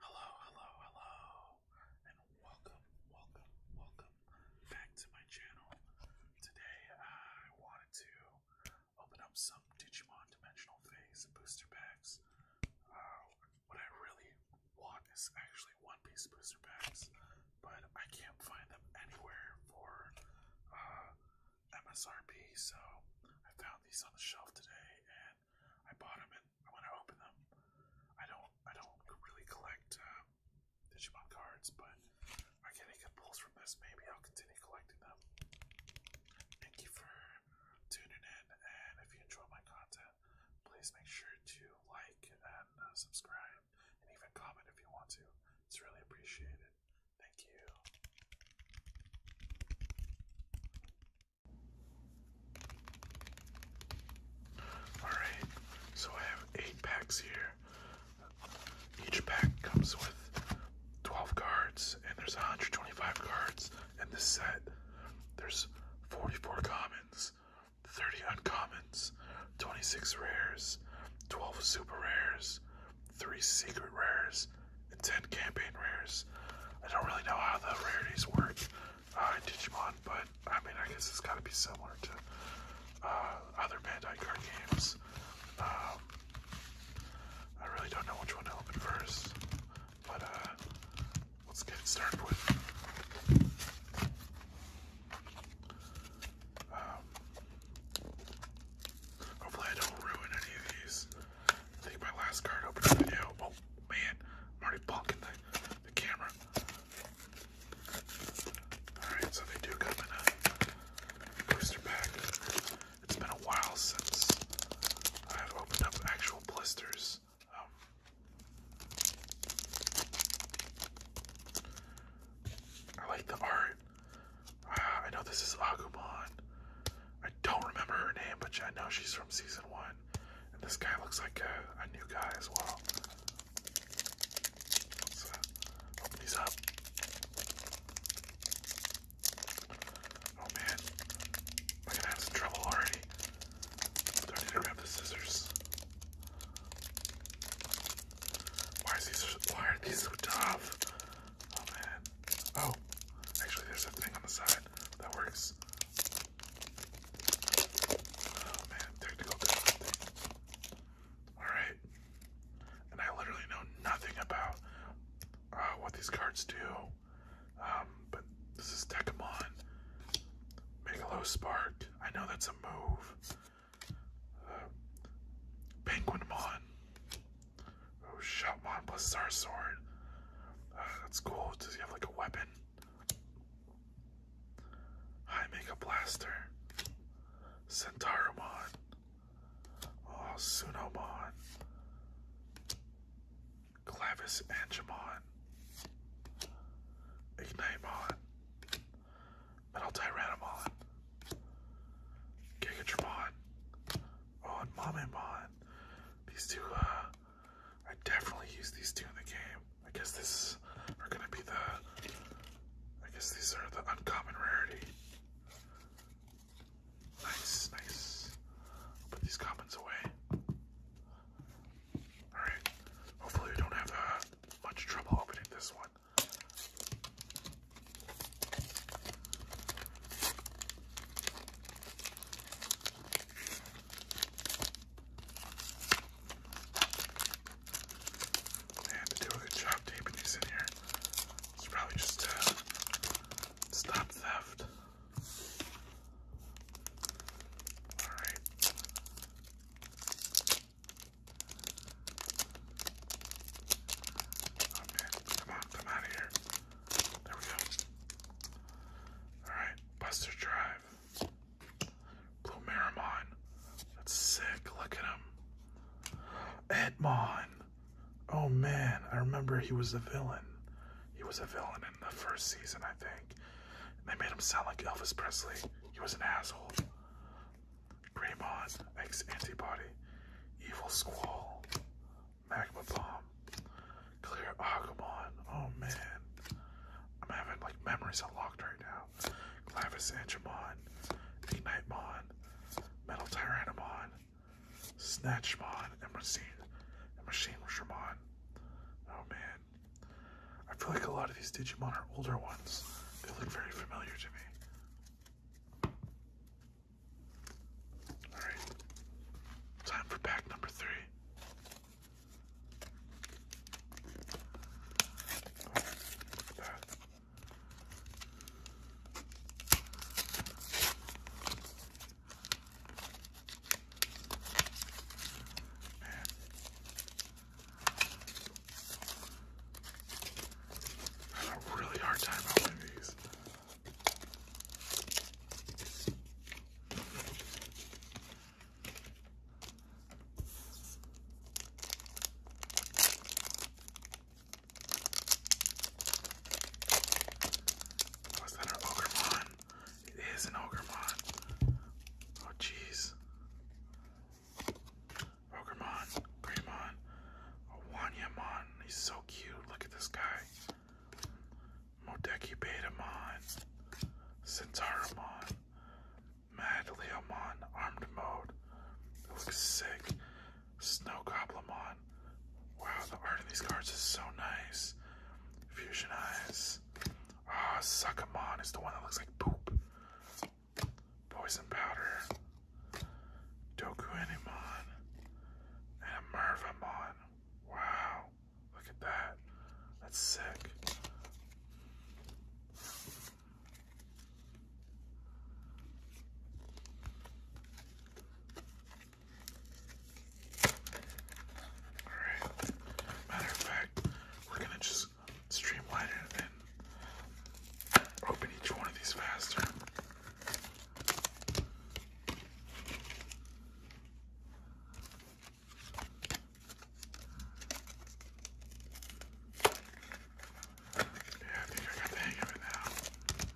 Hello, hello, hello, and welcome, welcome, welcome back to my channel. Today I wanted to open up some Digimon Dimensional Phase booster packs. Uh, what I really want is actually One Piece booster packs, but I can't find them anywhere for uh, MSRP, so I found these on the shelf today and I bought them and I want to open them. I don't I don't really collect uh, Digimon cards, but I get any good pulls from this. Maybe I'll continue collecting them. Thank you for tuning in, and if you enjoy my content, please make sure to like and uh, subscribe, and even comment if you want to. It's really appreciated. Thank you. Alright, so I have eight packs here. Each pack comes with 12 cards, and there's 125 cards in this set. There's 44 commons, 30 uncommons, 26 rares, 12 super rares, three secret rares, and ten campaign rares. I don't really know how the rarities work uh, in Digimon, but I mean, I guess it's got to be similar to uh, other Bandai card games. Um, I really don't know which one to open first, but uh, let's get it started with. Um, hopefully, I don't ruin any of these. I think my last card opening video. Oh man, I'm already bonking the, camera. Alright, so they do come in a booster pack. It's been a while since I've opened up actual blisters. Um, I like the art. I know this is Agumon. I don't remember her name, but I know she's from season one. And this guy looks like a, new guy as well. open these up. Oh man, I'm gonna have some trouble already. I need to grab the scissors? Why, is these, why are these so tough? Oh man. Oh, actually, there's a thing on the side that works. Oh man, technical Alright. And I literally know nothing about uh, what these cards do. Um, but this is Tekamon. Megalo Spark. I know that's a move. Penguinmon. Oh, Shotmon plus Zarsword. Uh, that's cool. Does he have like a weapon? High Mega Blaster. Centauramon. Oh, Sunomon. Clavis and Angemon. Ignitemon. But I'll Oh, Mamemon. These two, uh, I definitely use these two in the game. I guess this are gonna be the, I guess these are the uncommon rarity. Nice, nice. put these commons away. Alright, hopefully we don't have uh, much trouble opening this one. They to do a good job taping these in here. It's probably just to uh, stop theft. All right. Okay, come on, come out of here. There we go. Alright, Buster Drive. Blue Marimon. That's sick. Look at him. Edmond. Oh man, I remember he was a villain. He was a villain in the first season, I think. And they made him sound like Elvis Presley. He was an asshole. Greymon, X Antibody, Evil Squall, Magma Bomb, Clear Agumon. Oh man, I'm having like memories unlocked right now. Clavis Angemon, ignite Nightmon, Metal Tyrannomon, Snatchmon, and Machine, and Machine Shramon. Oh man, I feel like a lot of these Digimon are older ones. They look very familiar to me. Alright, time for pack number three. I had a really hard time opening these. Was that an it is an Ogremon. Oh jeez. Ogremon, Greymon, a He's so cute. Look at this guy. Modeki Betamon, Centauramon, Madleomon, Armed Mode. It looks sick. Snow Goblamon. Wow, the art in these cards is so nice. Fusion Eyes, Ah, uh, is the one that looks like poop. Poison powder. Dokuenimon. And a Mervamon. Wow. Look at that. That's sick. Alright. Matter of fact, we're gonna just streamline it and open each one of these faster. Yeah, I think I got the hang of it now.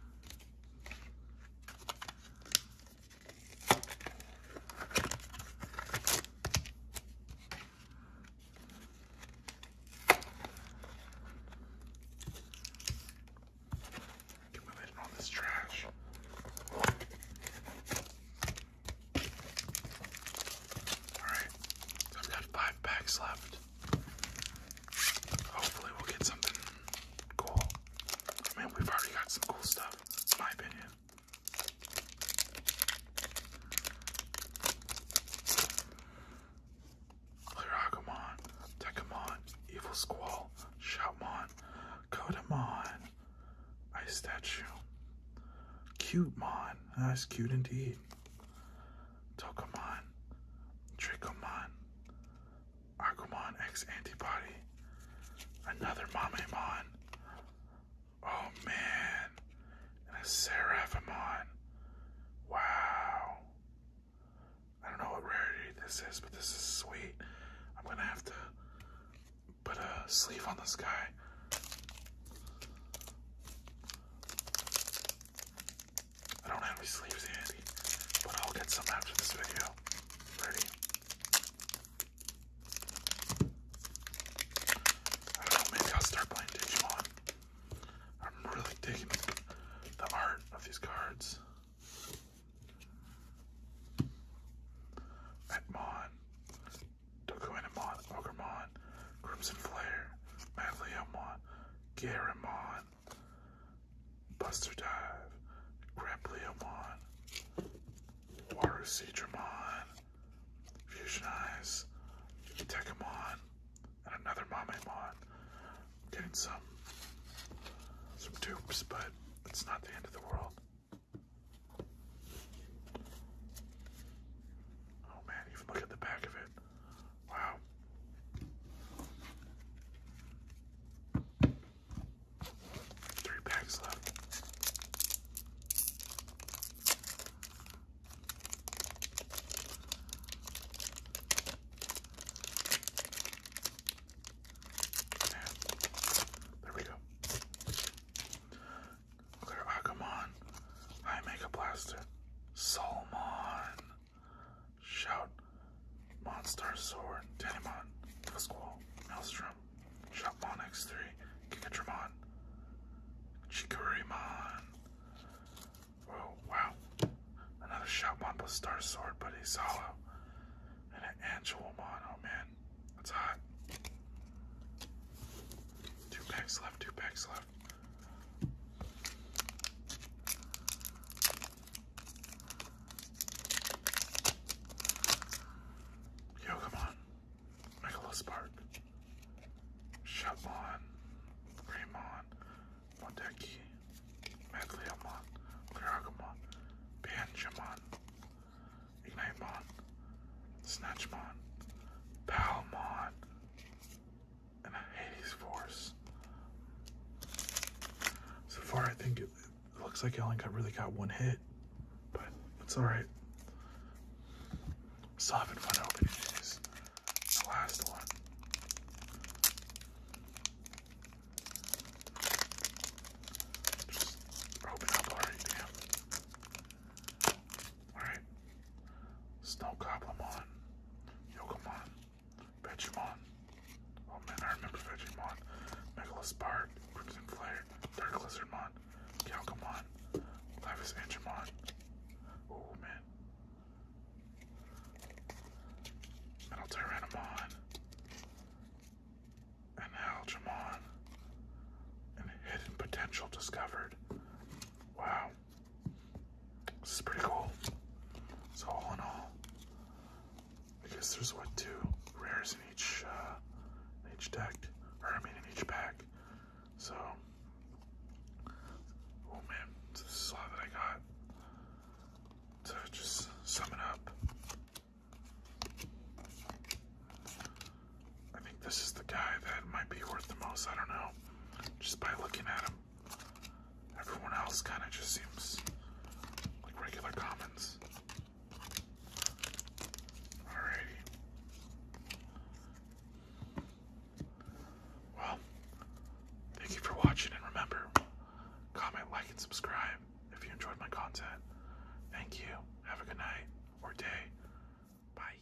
Get my lid all this trash. Alright, I've got five packs left. Hopefully, we'll get something cool. I we've already got some cool stuff, in my opinion. Lyragamon, Decamon, Evil Squall, Shoutmon, Codamon, Ice Statue, Cutemon, that's cute indeed, Tokamon, Trichomon, Agumon X Antibody. Another Mamemon. Oh man. And a Seraphimon. Wow. I don't know what rarity this is, but this is sweet. I'm gonna have to put a sleeve on this guy. I don't have any sleeves handy, but I'll get some after this video. Ready? I don't know, maybe I'll start playing Digimon. I'm really digging the art of these cards. Etmon, Dokuenamon, Ogremon, Crimson Flare, Madleomon, Garamon, Buster Dive, Grappleomon, Water Seedramon, Fusion Eyes, Tekamon, and another Mamemon. Getting some some dupes, but it's not the end of the world. Oh man, even look at the back of it. Wow. Three packs left. There we go. Look at her Akamon. Blaster. Solomon. Shout, Monster Sword, Tenimon, Fusquall, Maelstrom, Shout Monix3, Gigatramon, Chikurimon. Oh, wow. Another Shoutmon plus Star Sword, but he's And an Angelomon, oh man, that's hot. Two packs left, two packs left. Yo, come on. Make a little spark. Shutmon, Greymon, Modeki, Medliamon, Clearagamon, Banjamon, Ignitemon, Snatchmon, Palmon, and a Hades Force. So far, I think it, looks like I got really got one hit, but it's all right. Still having fun opening these. The last one. open up already, damn. Alright. Snow Goblin on. Vegemon. Oh man, I remember Vegemon. Megalas Bark, Crimson Flare, Dark Lizardmon, Galgamon, Lavis Angemon. Oh man. Metal Tyrannomon. And Algemon. And Hidden Potential Discovered. Wow. This is pretty cool. So all in all, I guess there's what two rares in each uh, each deck, or I mean in each pack. So, oh man, this is all that I got So just sum it up. I think this is the guy that might be worth the most. I don't know, just by looking at him. Everyone else kind of just seems like regular comments. Alrighty. Well, thank you for watching and remember, comment, like, and subscribe if you enjoyed my content. Thank you. Have a good night or day. Bye.